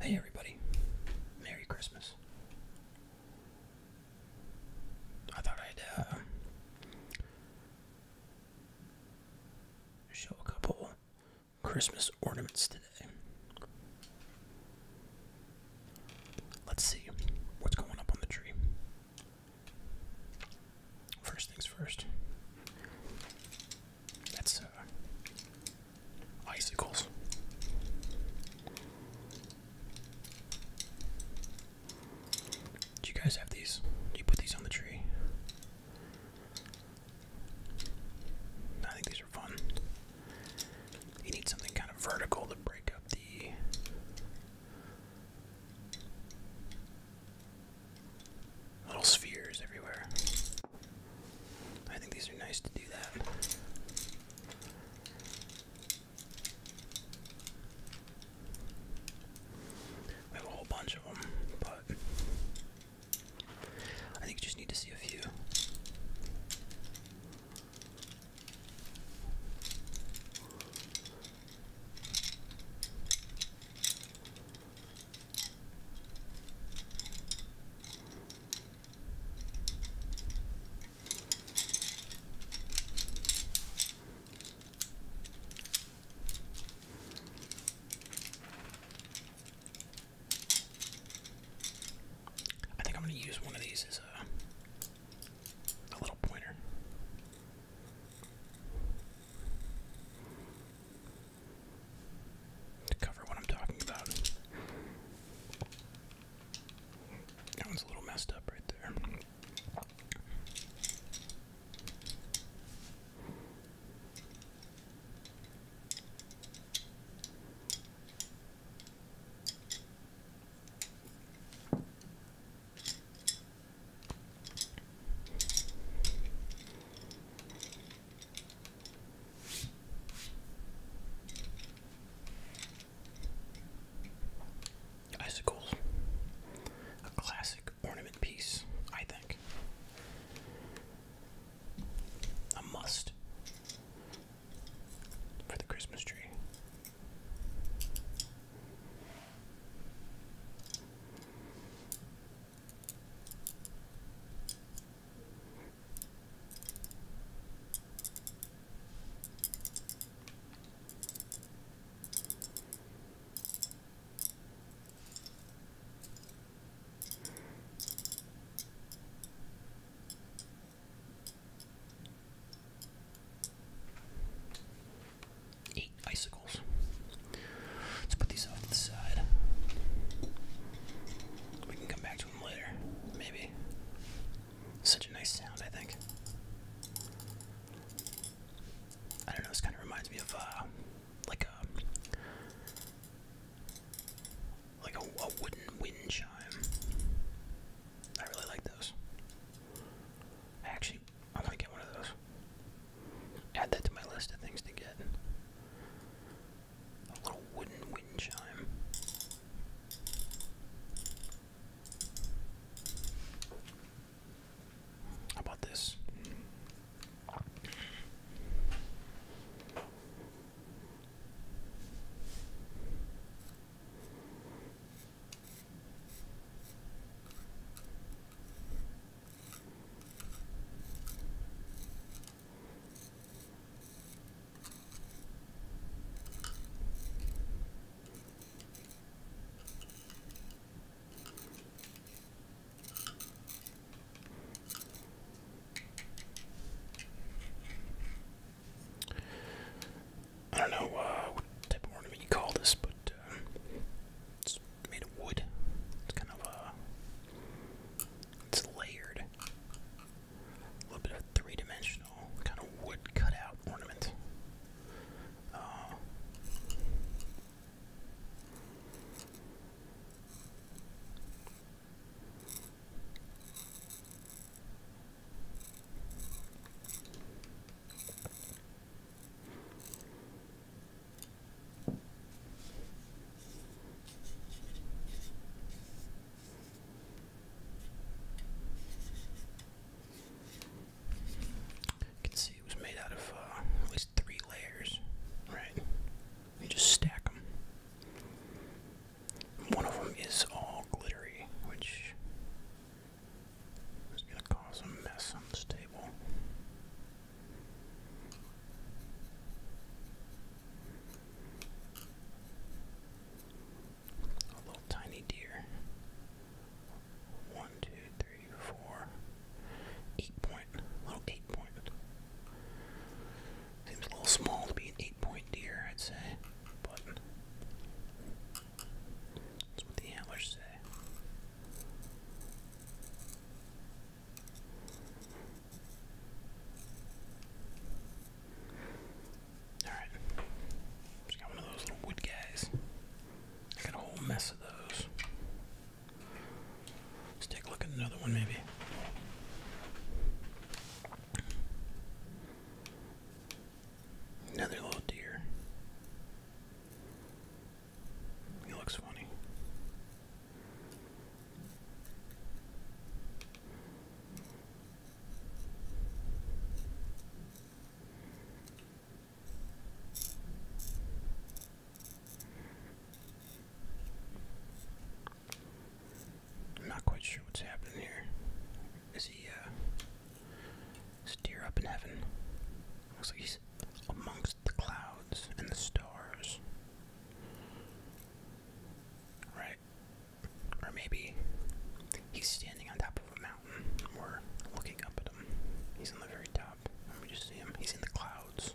Hey everybody, Merry Christmas. I thought I'd uh, show a couple Christmas ornaments today. Let's see what's going up on the tree. First things first, that's uh, icicles. Do you guys have these? you put these on the tree? I think these are fun. You need something kind of vertical to break up the. Little spheres everywhere. I think these are nice to do that. We have a whole bunch of them, but I think you just need to see a few. I think I'm going to use one of these as a, little pointer to cover what I'm talking about. That one's a little messed up right there. Icicles. A classic ornament piece, I think. A must for the Christmas tree. Eight icicles. Let's put these off to the side. We can come back react later. Maybe. Such a nice sound, I think. I don't know, this kind of reminds me of, uh, like a, like a, wooden wind chime. I really like those. actually, I want to get one of those. Add that to my list of things to get. A little wooden wind chime. How about this? I don't know uh, what type of ornament you call this, but uh, it's made of wood. It's kind of a. Uh, it's layered a little bit of three-dimensional kind of wood cutout ornament. You can see it was made out of uh, at least three layers, right? You just stack them. One of them is all glittery, which is going to cause a mess on this table. A little tiny deer. One, two, three, four. Eight point. Little eight point. Seems a little small to be an eight point deer, I'd say. But that's what the antlers say. Alright. got one of those little wood guys. got a whole mess of those. Let's take a look at another one, maybe. Another little deer. He looks funny. I'm not quite sure what's happening here. Is he, uh, is deer up in heaven? Looks like he's amongst the clouds and the stars. Right. Or maybe he's standing on top of a mountain. we looking up at him. He's on the very top. Let me just see him. He's in the clouds.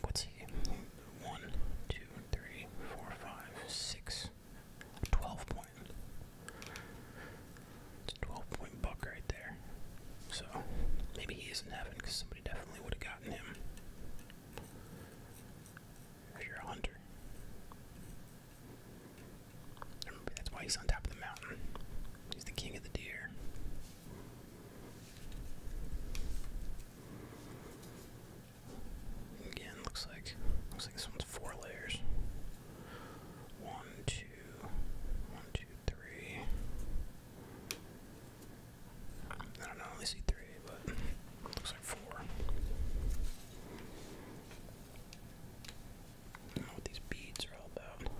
What's he? One, two, three, four, five, six, twelve point. It's a 12 point buck right there. So maybe he is in heaven because somebody definitely would have gotten him. If you're a hunter. maybe that's why he's on top of the mountain. He's the king of the deer. Again, looks like looks like this one's four layers. One, two, one, two, three. I don't know, I see three, but looks like four. what these beads are all about.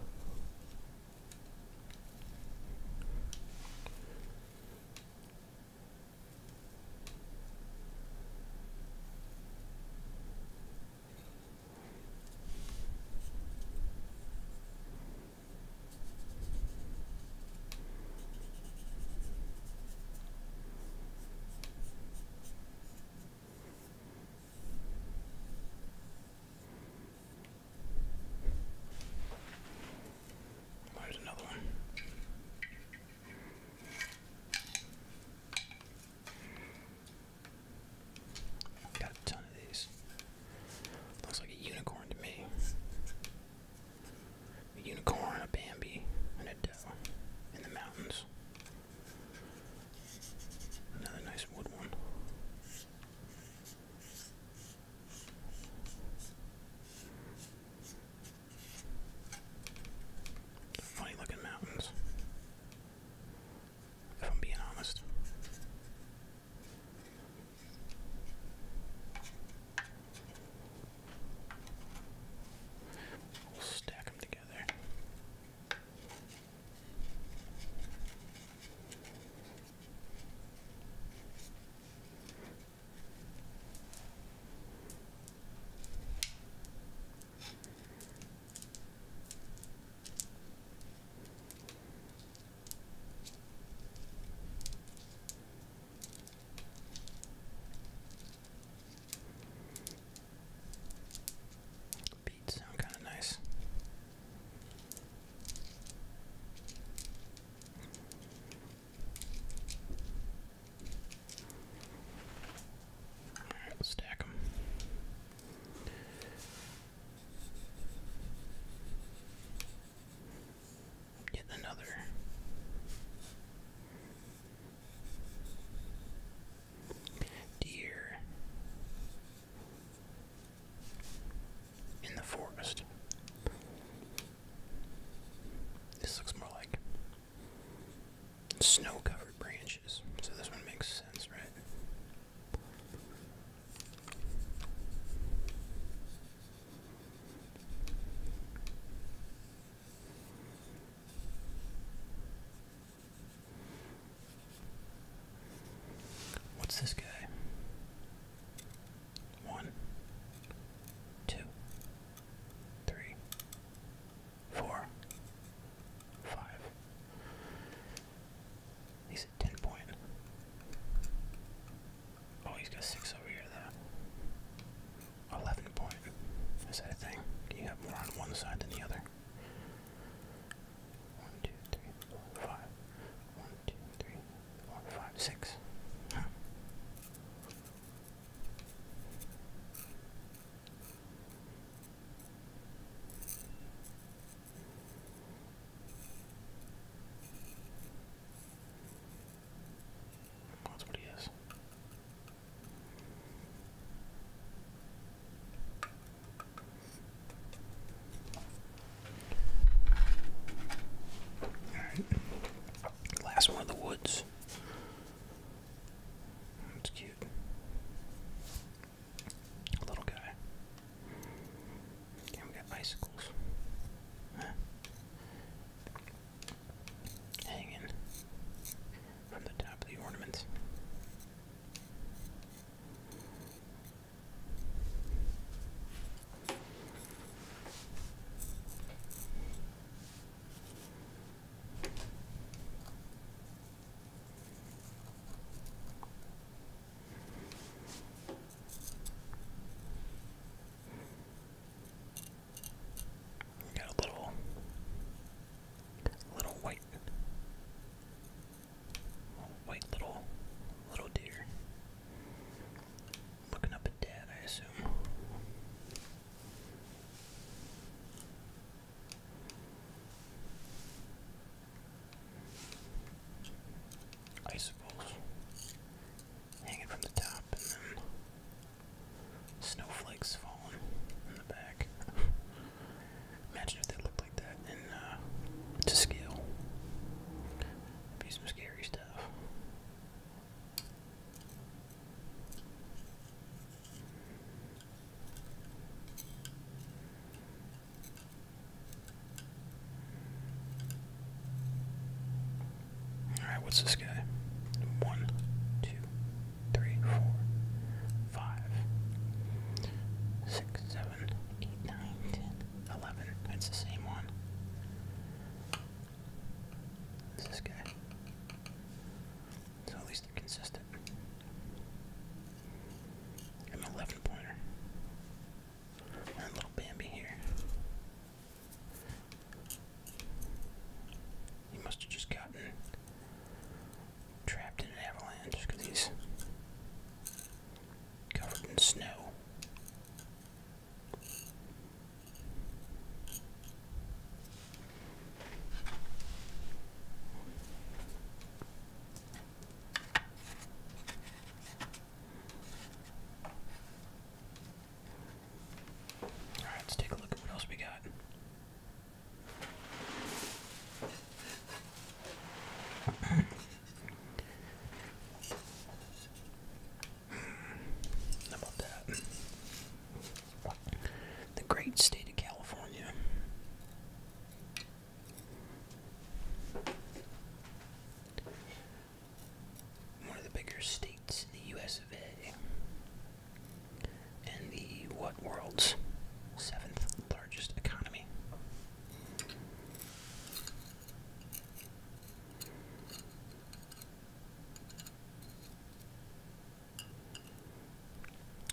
There's another one got a ton of these. Looks like a unicorn to me. A unicorn, a Bambi, and a doe in the mountains. Another nice wood one. Funny looking mountains if I'm being honest. We'll stack them together. Beats sound kind of nice. All right, stack them. Yet another. Deer in the forest. This looks more like snow covered branch. So this one makes sense, right? What's this guy? One, two, three, four, five. 10 point. Oh, he's got 6 over here, though. 11 point. Is that a thing? You have more on one side than the other. 1, 2, 5. 6. That's what he is. Alright. Last one of the woods. That's cute. Little guy. we got icicles. Hanging on the top of the ornaments. Got a little, little white, white little, little deer looking up at Dad, I assume. Icicles hanging from the top, and then snowflakes falling in the back. Imagine if they looked like that uh, to scale. be some scary stuff. Alright, what's this guy? One, two, three, four, five, six, seven, eight, nine, ten, eleven. That's the same one. It's this guy. at least they're consistent. An 11 pointer. And little Bambi here. He must have just gotten trapped in an avalanche because he's covered in snow. Alright, let's take a look at what else we got. How about that? The great state of California. One of the bigger states in the US of A. And the what world's seventh largest economy.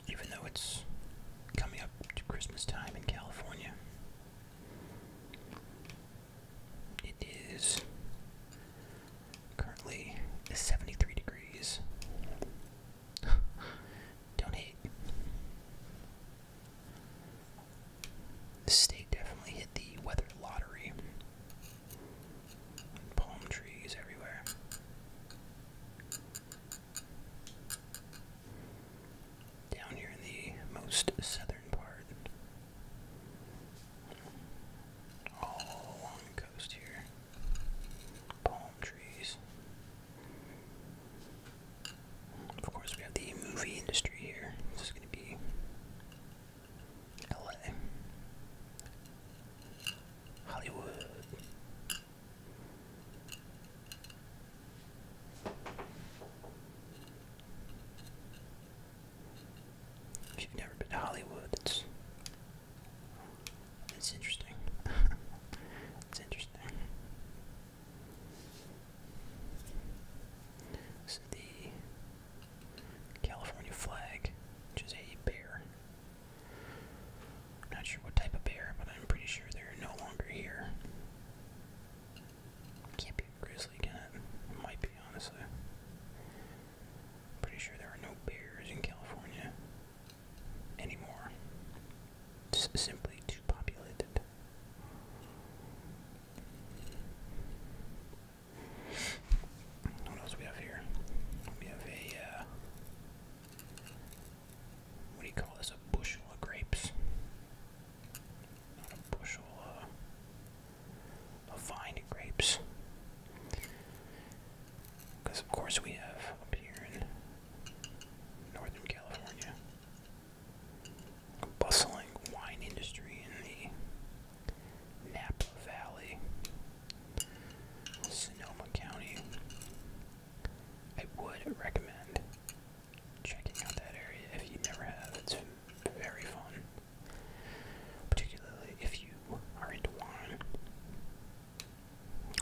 Even though it's coming up to Christmas time in California, it is currently 73 degrees. Don't hate. The state definitely hit the weather lottery. Palm trees everywhere. Down here in the most southern part. All along the coast here. Palm trees. Of course, we have the movie industry here. This is going to be LA. Hollywood. If you've never been to Hollywood, it's it's interesting. it's interesting. This is the California flag, which is a bear. not sure what type of bear, but I'm pretty sure they're no longer here. Can't be a grizzly, can it? might be, honestly. Pretty sure there are no bears in California anymore. It's simply too populated. What else we have here? We have a, uh, what do you call this? A bushel of grapes bushel uh, of vine grapes. Because, of course, we have up here in Northern California bustling wine industry in the Napa Valley, Sonoma County. I would recommend checking out that area if you never have. It's very fun, particularly if you are into wine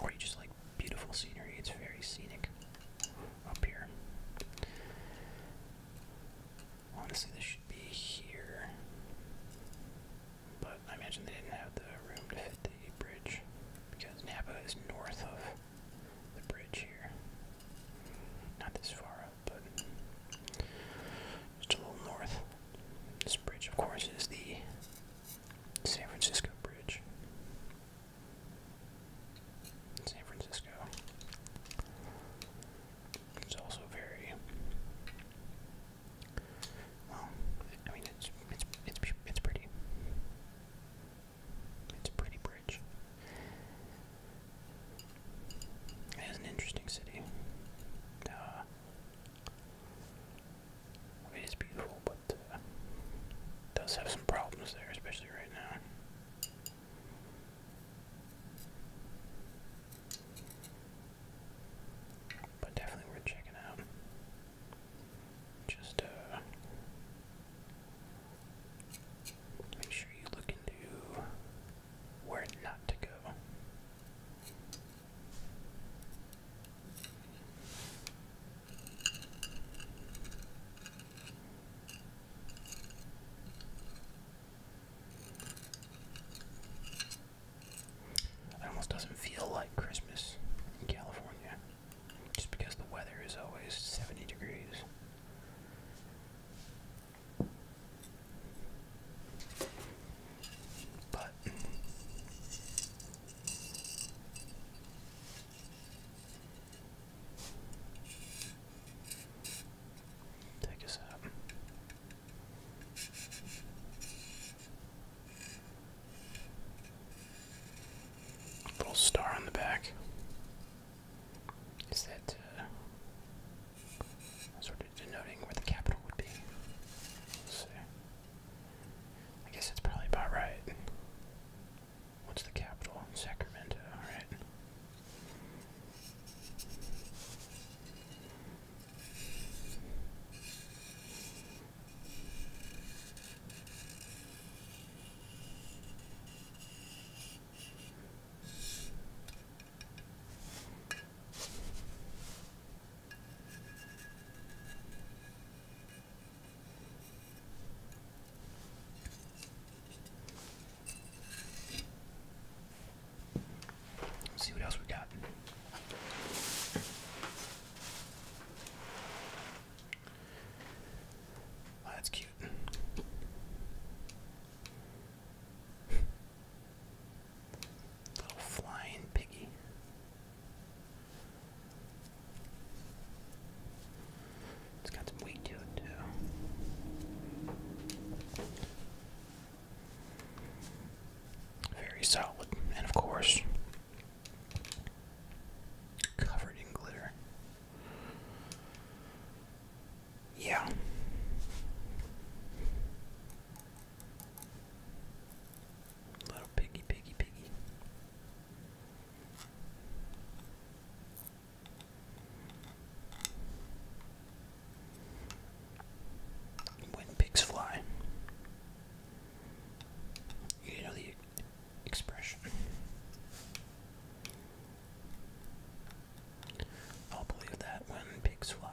or you just like beautiful scenery. It's very scenic up here. Honestly, this should be here, but I imagine they didn't have the room to fit the bridge because Napa is north of the bridge here. Not this far up, but just a little north. This bridge, of course, is the San Francisco Bridge. San Francisco. It's also very well. I mean, it's it's it's it's pretty. It's a pretty bridge. It has an interesting city. Uh, it is beautiful, but it uh, does have some problems there, especially right now. But definitely worth checking out. Just uh Make sure you look into where not to go. It almost doesn't feel like Christmas in California just because the weather is always 70 degrees. But take us out. Little star on the back. Is that uh, sort of denoting where the capital would be? I guess that's probably about right. What's the capital? Sacramento, All right. Let's see what else we got. Oh, that's cute. Little flying piggy. It's got some weight to it, too. Very solid, and of course, covered in glitter. Yeah. Little piggy, piggy, piggy. When pigs fly. You know the expression. I'll believe that when pigs fly.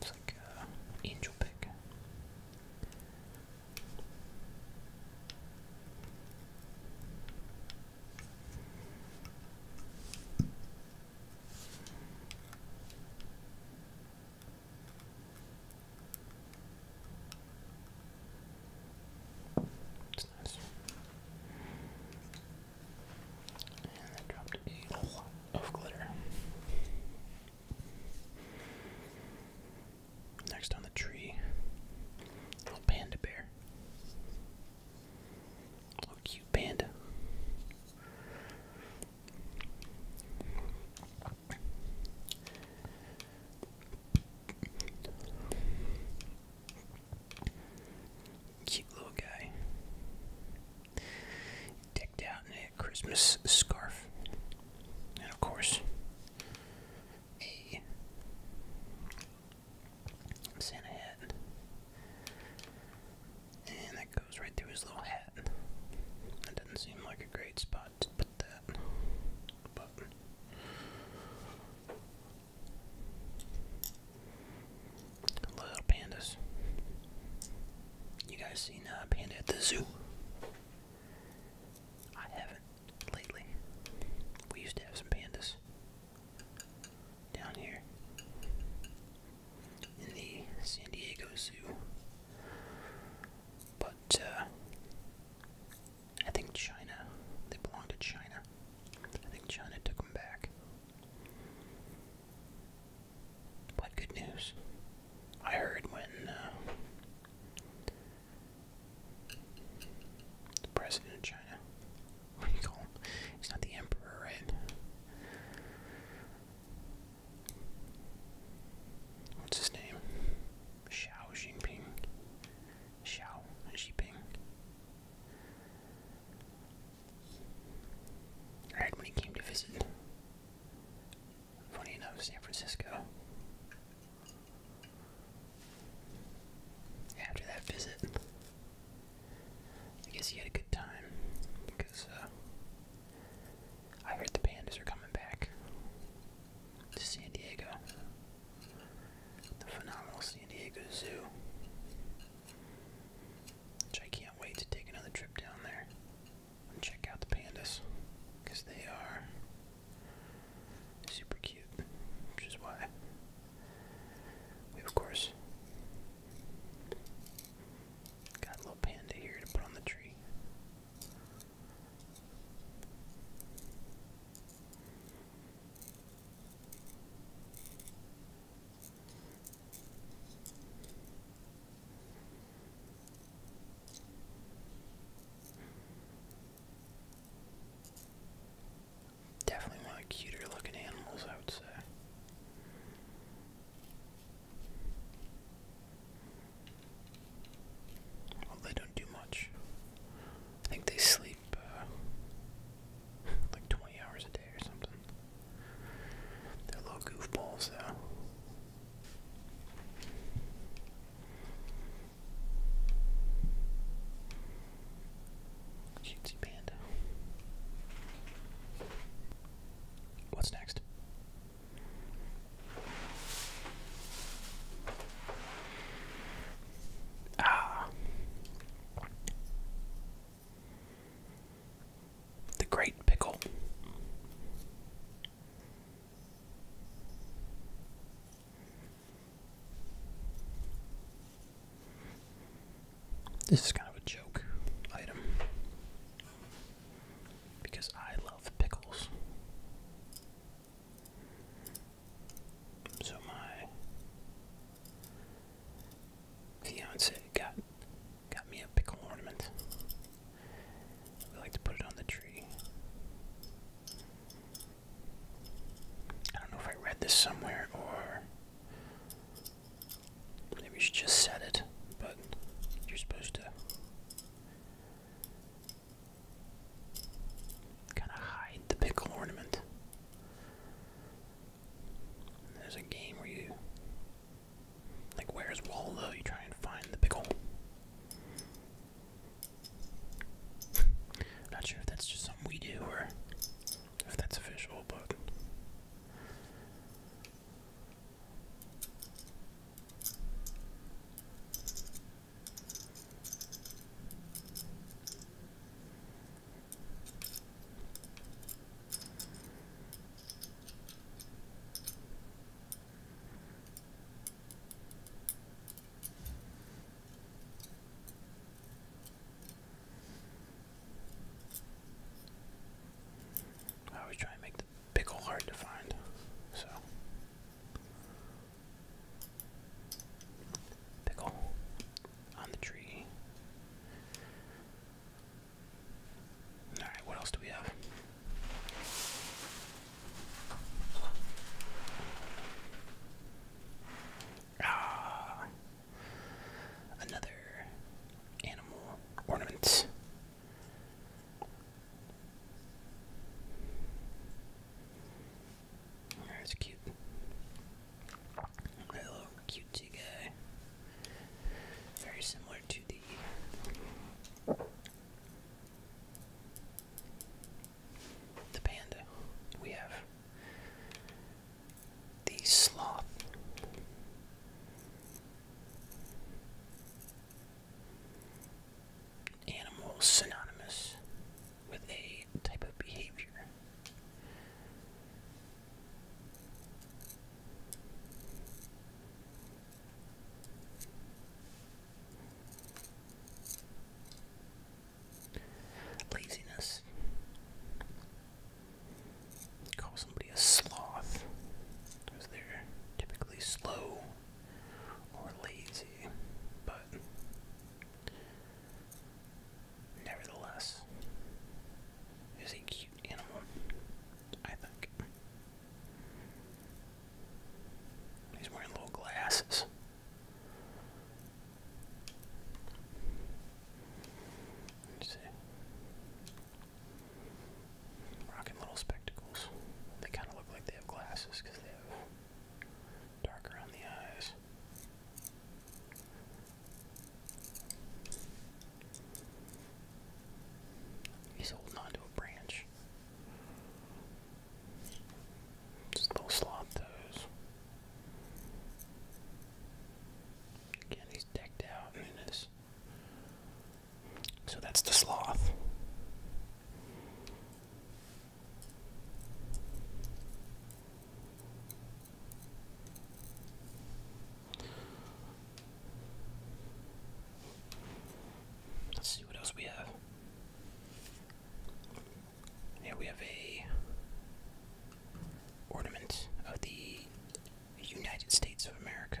It's like an angel pig. And I dropped a lot of glitter. Next on the tree, a panda bear. Oh, cute panda. Cute little guy. Decked out in a Christmas scarf. And of course, a Santa hat. And that goes right through his little hat. That doesn't seem like a great spot to put that. little pandas. You guys seen a uh, panda at the zoo? I haven't lately. We used to have some pandas down here in the San Diego Zoo. But uh, I think China, they belong to China. I think China took them back. But good news. I heard when uh, the president of China what do you call him? He's not the emperor, right? What's his name? Xiao Jinping. Xiao Jinping. I heard when he came to visit. Funny enough, San Francisco. After that visit, I guess he had a good time because uh, I heard the pandas are coming back to San Diego, the phenomenal San Diego Zoo, which I can't wait to take another trip down there and check out the pandas because they are super cute, which is why we of course got a little panda here to put on the tree. Definitely one of the cuter looking animals, I would say. Well, they don't do much. I think they sleep uh, like 20 hours a day or something. They're little goofballs, though. Cutesy panda. What's next? Ah. The Great Pickle. This is kind of a joke item because I love pickles. So my fiance got got me a pickle ornament. We like to put it on the tree. I don't know if I read this somewhere or Maybe we should just set it, but you're supposed to kind of hide the pickle ornament. There's a game where you, like, where's Waldo? You try and find the pickle. Not sure if that's just something we do or if that's official, but. I was trying to make the pickle hard to find, so pickle on the tree. All right, what else do we have? Ah, Another animal ornament. That's cute. A little cutie guy. Very similar to the the panda we have the sloth. Animal synonymous with a type of behavior. Laziness. Call somebody a sloth because they're typically slow or lazy, but nevertheless, is a cute animal, I think. He's wearing little glasses. Let's see. Rocking little spectacles. They kind of look like they have glasses because they have dark around the eyes. He's holding on to a branch. Just little slop toes. Again, he's decked out in his so that's the sloth. Let's see what else we have. Here we have a ornament of the the United States of America.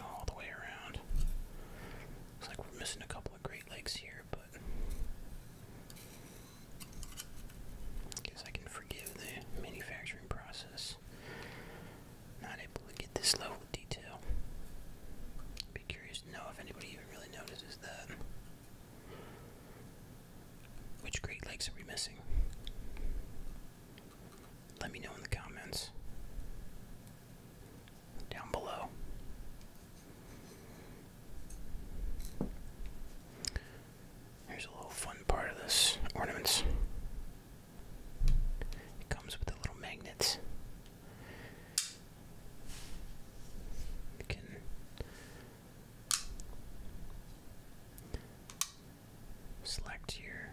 All the way around. Looks like we're missing a couple of Great Lakes here, but guess I can forgive the manufacturing process. Not able to get this level detail. be curious to know if anybody even really notices that. Which Great Lakes are we missing? Let me know in the comments. Down below. Here's a little fun part of this ornaments. It comes with a little magnet. You can select your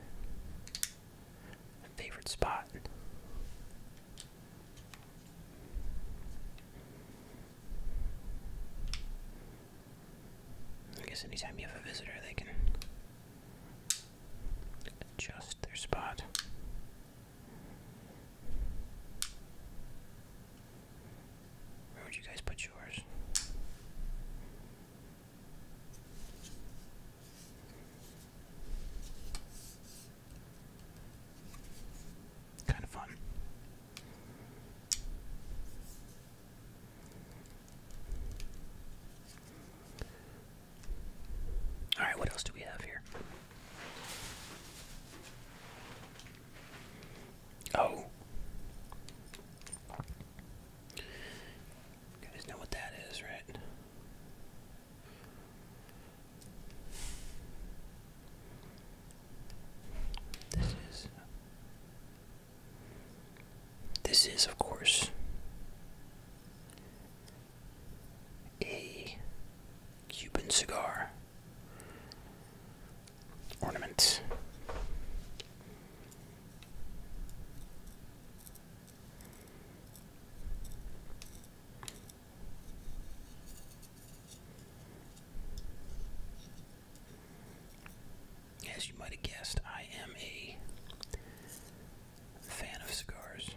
favorite spot. I guess anytime you have a visitor, they can adjust their spot. Where would you guys put yours? Kind of fun. All right, what else do we have here? Oh. You guys know what that is, right? This is This is of course a Cuban cigar ornament. As you might have guessed, I am a fan of cigars.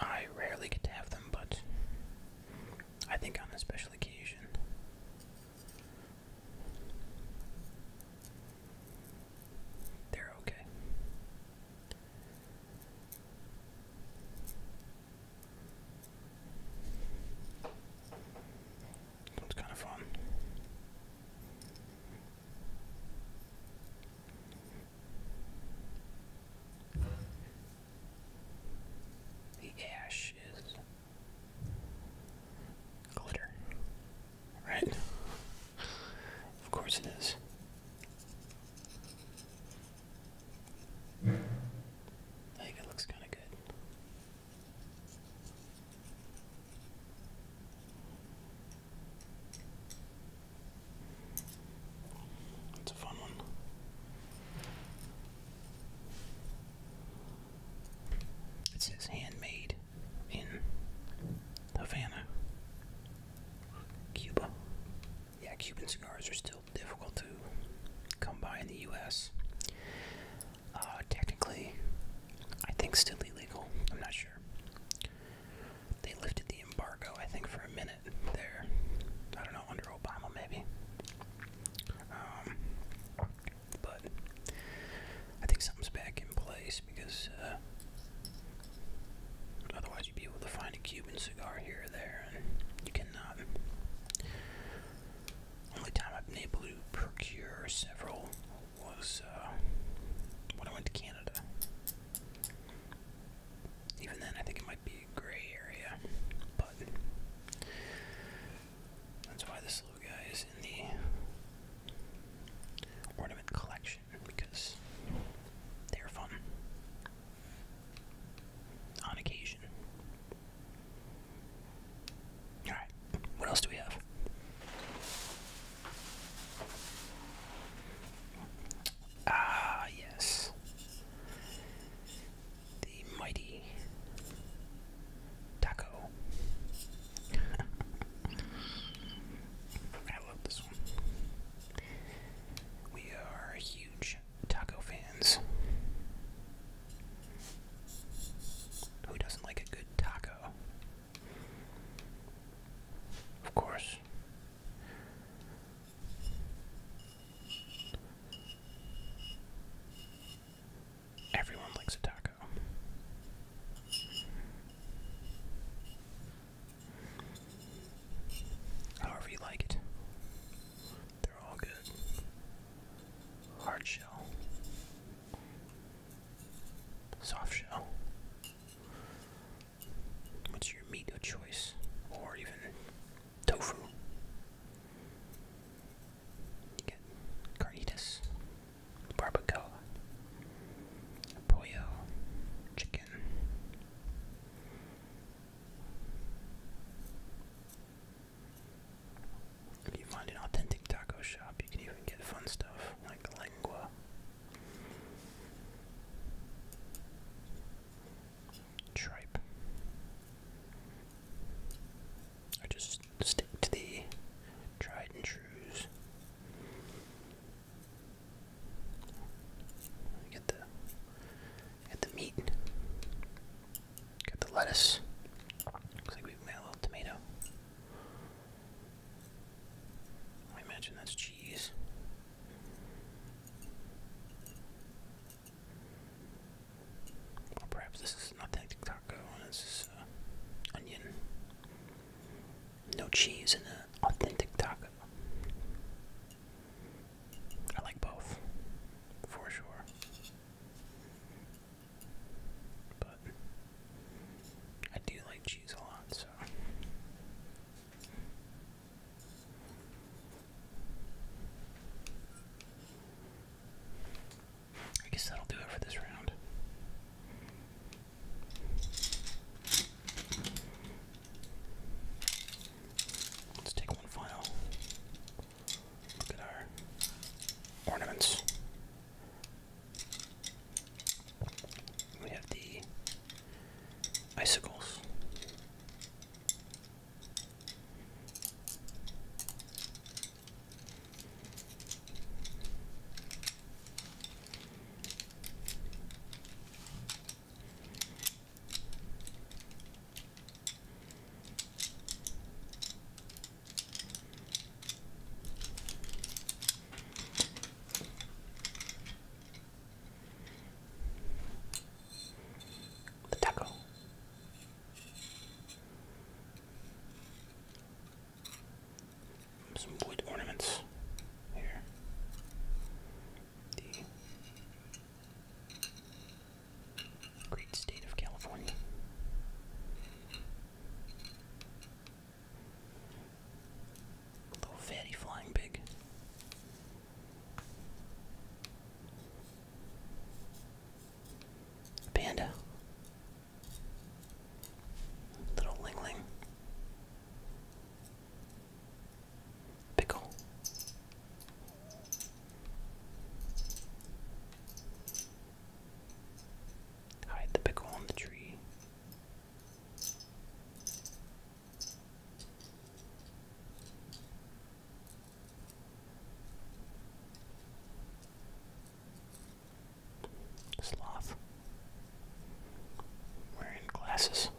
I rarely get to have them, but I think on a special occasion. They're okay. So it's kind of fun. The ash is glitter, right? Of course it is. I think it looks kind of good. That's a fun one. It says handmade in Havana, Cuba. Yeah, Cuban cigars are still difficult to come by in the U.S uh, technically, I think still illegal. I'm not sure. They lifted the embargo, I think, for a minute there. I don't know, under Obama, maybe. Um, but I think something's back in place because uh, otherwise you'd be able to find a Cuban cigar here or there, and you cannot. Only time I've been able to procure several was uh, when I went to Canada. Even then, I think it might be a gray area, but that's why this little guy is in the ornament collection because they're fun on occasion. Alright, what else do we have? Ah, yes. The mighty taco. I love this one. We are huge taco fans. Who doesn't like a good taco? Of course. Everyone likes a taco. However you like it. They're all good. Hard shell soft shell. What's your meat of choice? Or even tofu. You get carnitas, barbacoa, pollo, chicken. If you find an authentic taco shop, you can even get fun stuff like lengua. Tripe. Or just stick to the tried and trues. Get the get the meat. Got the lettuce. Looks like we've made a little tomato. I imagine that's cheese. Or perhaps this is not that taco, this is uh, onion. No cheese in an authentic taco. I like both, for sure. But I do like cheese a lot, so. I guess that'll do it for this round. Let's take one final look at our ornaments. We have the icicles. The taco. Some wood ornaments here. The great state of California. Little fatty flying pig. Panda. Little Ling Ling. Pickle. Hide the pickle on the tree. Sloth. Wearing glasses.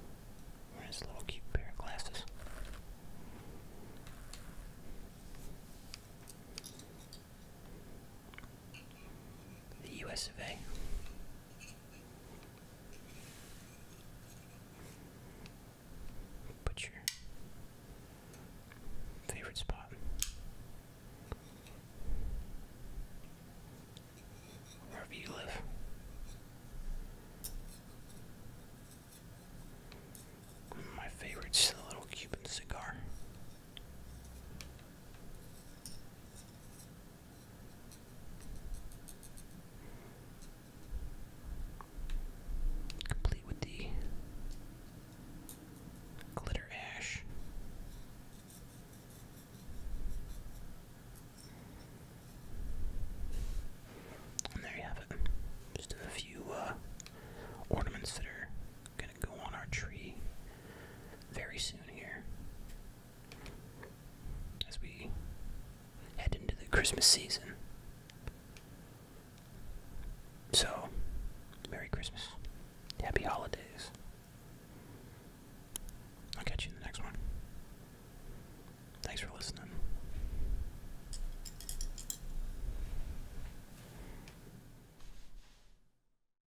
Wearing his little cute pair of glasses. The US of A. Put your favorite spot. Wherever you live. My favorite's the little Cuban cigar. Complete with the glitter ash. And there you have it. Just a few uh, gonna go on our tree very soon here as we head into the Christmas season. So, Merry Christmas. Happy Holidays. I'll catch you in the next one. Thanks for listening.